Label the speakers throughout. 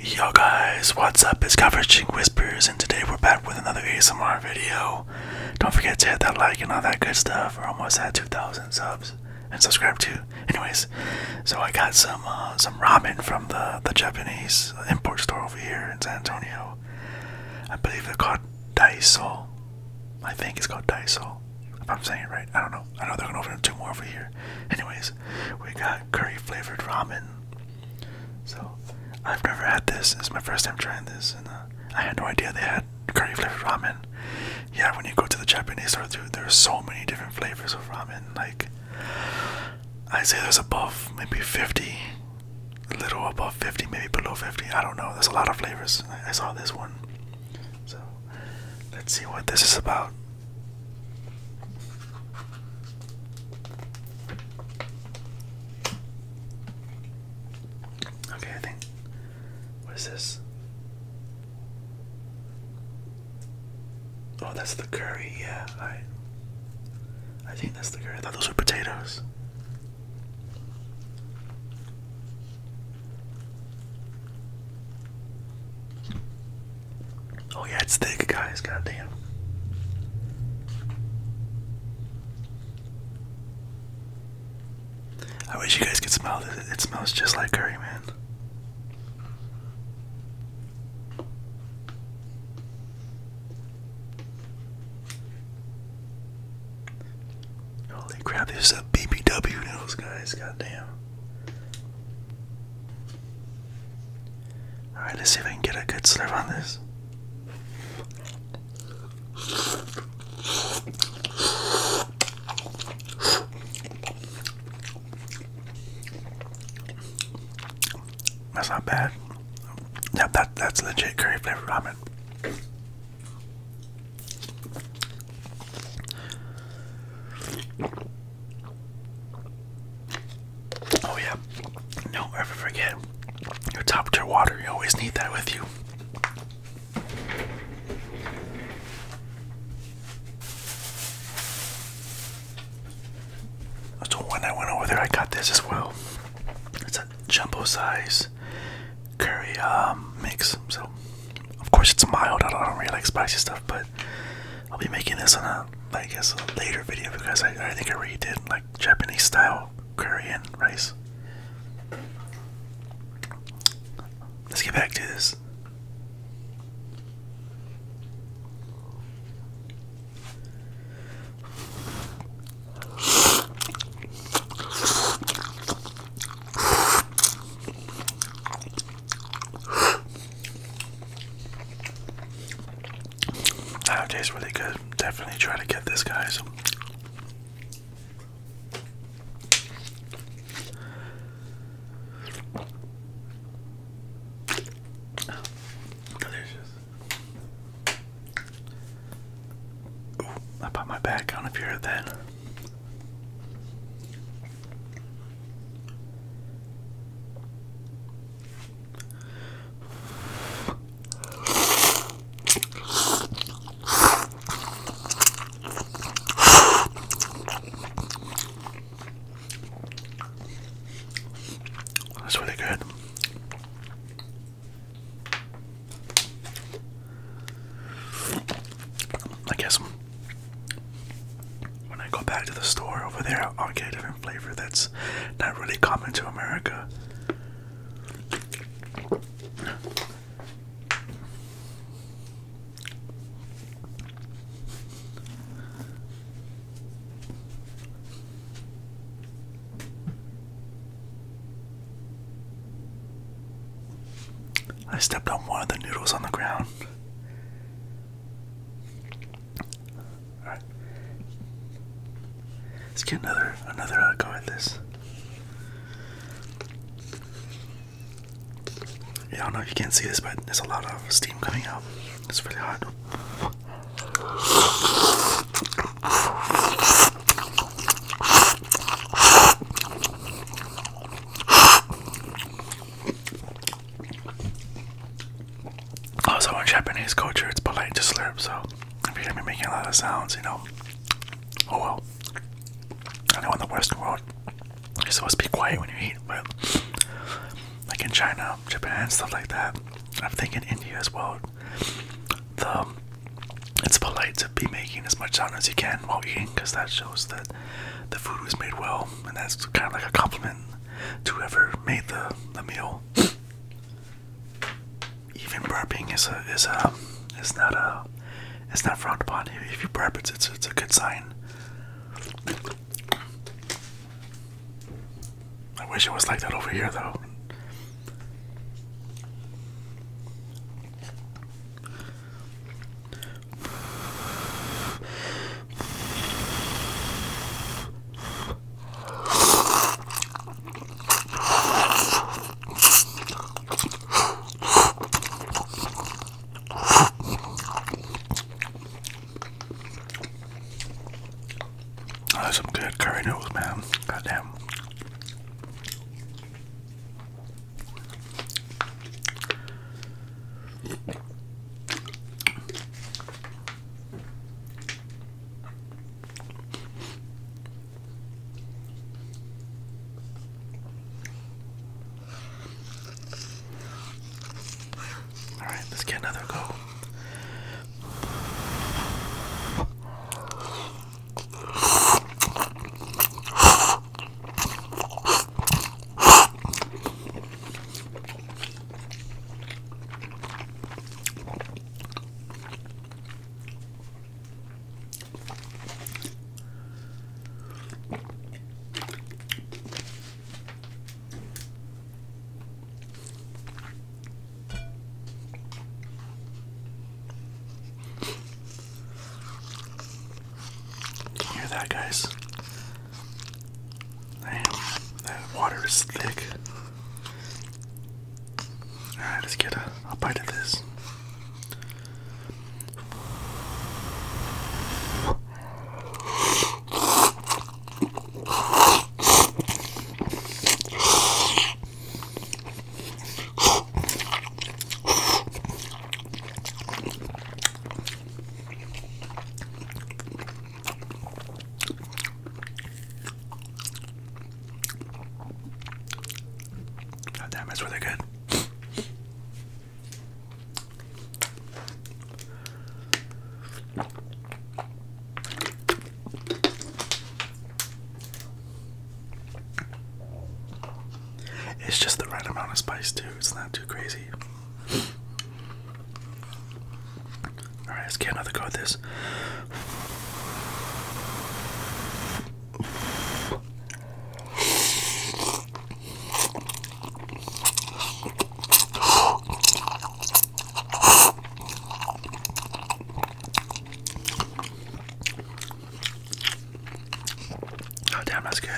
Speaker 1: Yo guys, what's up? It's Conversation Whispers, and today we're back with another ASMR video. Don't forget to hit that like and all that good stuff. We're almost at 2,000 subs and subscribe too. Anyways, so I got some uh, some ramen from the the Japanese import store over here in San Antonio. I believe they're called Daiso. I think it's called Daiso. If I'm saying it right, I don't know. I know they're gonna open up two more over here. Anyways. We got curry flavored ramen. So I've never had this. This is my first time trying this, and uh, I had no idea they had curry flavored ramen. Yeah, when you go to the Japanese store, dude, there so many different flavors of ramen. Like, I'd say there's above maybe 50, a little above 50, maybe below 50. I don't know. There's a lot of flavors. I saw this one. So let's see what this is about. Okay, I think. What is this? Oh, that's the curry. Yeah, I. I think that's the curry. I thought those were potatoes. Oh yeah, it's thick, guys. God damn. I wish you guys could smell it. It smells just like curry, man. Holy crap, this is a BBW noodles, guys. God damn. Alright, let's see if I can get a good slurp on this. That's not bad. Yep, that, that's legit curry flavored ramen. Oh yeah. Don't ever forget your top tier water. You always need that with you. So when I went over there, I got this as well. It's a jumbo size curry um, mix. So of course it's mild. I don't really like spicy stuff, but I'll be making this on a, I guess, a later video because I, I think I already did like Japanese style curry and rice. Let's get back to this. That tastes really good. Definitely try to get this, guys. Delicious. I put my back on if you heard that. That's really good. I guess when I go back to the store over there, I'll get a different flavor that's not really common to America. I stepped on one of the noodles on the ground right. Let's get another another uh, go at this. I don't know if you can see this, but there's a lot of steam coming out. It's really hot. Also, in Japanese culture, it's polite to slurp, so if you're gonna be making a lot of sounds, you know, oh well. I know in the Western world, you're supposed to be quiet when you eat, but like in China, Japan, stuff like that, I think in India as well, the it's polite to be making as much sound as you can while eating because that shows that the food was made well, and that's kind of like a compliment to whoever made the the meal. Even burping is a is a is not a it's not frowned upon. If you burp, it's it's, it's a good sign. I wish it was like that over here, though. Oh, that's some good curry noodles, man. Goddamn. All right, let's get another go. Can you hear that, guys? Damn, that water is thick. Alright, let get a bite of this. Oh, damn, that's really good. It's just the right amount of spice too. It's not too crazy. Alright, let's get another go at this. Oh, damn, that's good.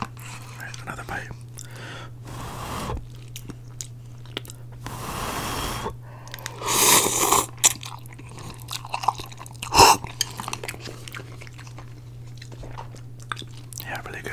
Speaker 1: Alright, another bite. Yeah, really good.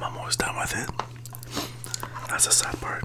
Speaker 1: I'm almost done with it. That's the sad part.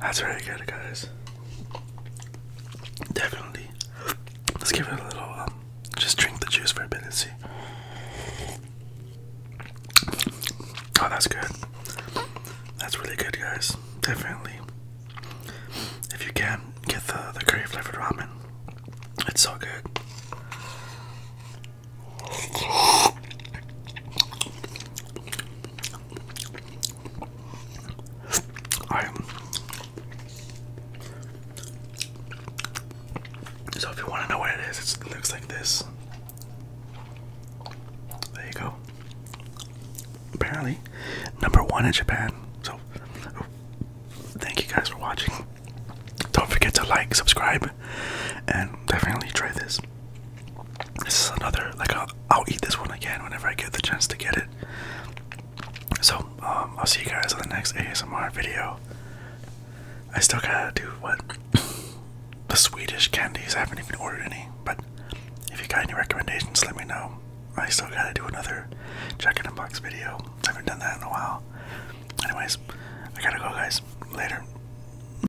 Speaker 1: That's really good, guys. Definitely. Let's give it a little. Um, just drink the juice for a bit and see. Oh, that's good. That's really good, guys. Definitely. If you can get the the curry flavored ramen, it's so good. So if you want to know what it is, it looks like this. There you go. Apparently, number one in Japan. So, thank you guys for watching. Don't forget to like, subscribe, and definitely try this this. is another like I'll, eat this one again whenever I get the chance to get it. So um, I'll see you guys on the next ASMR video. I still gotta do what the Swedish candies. I haven't even ordered any, but if you got any recommendations, let me know. I still gotta do another check in a box video. I haven't done that in a while. Anyways, I gotta go, guys. Later.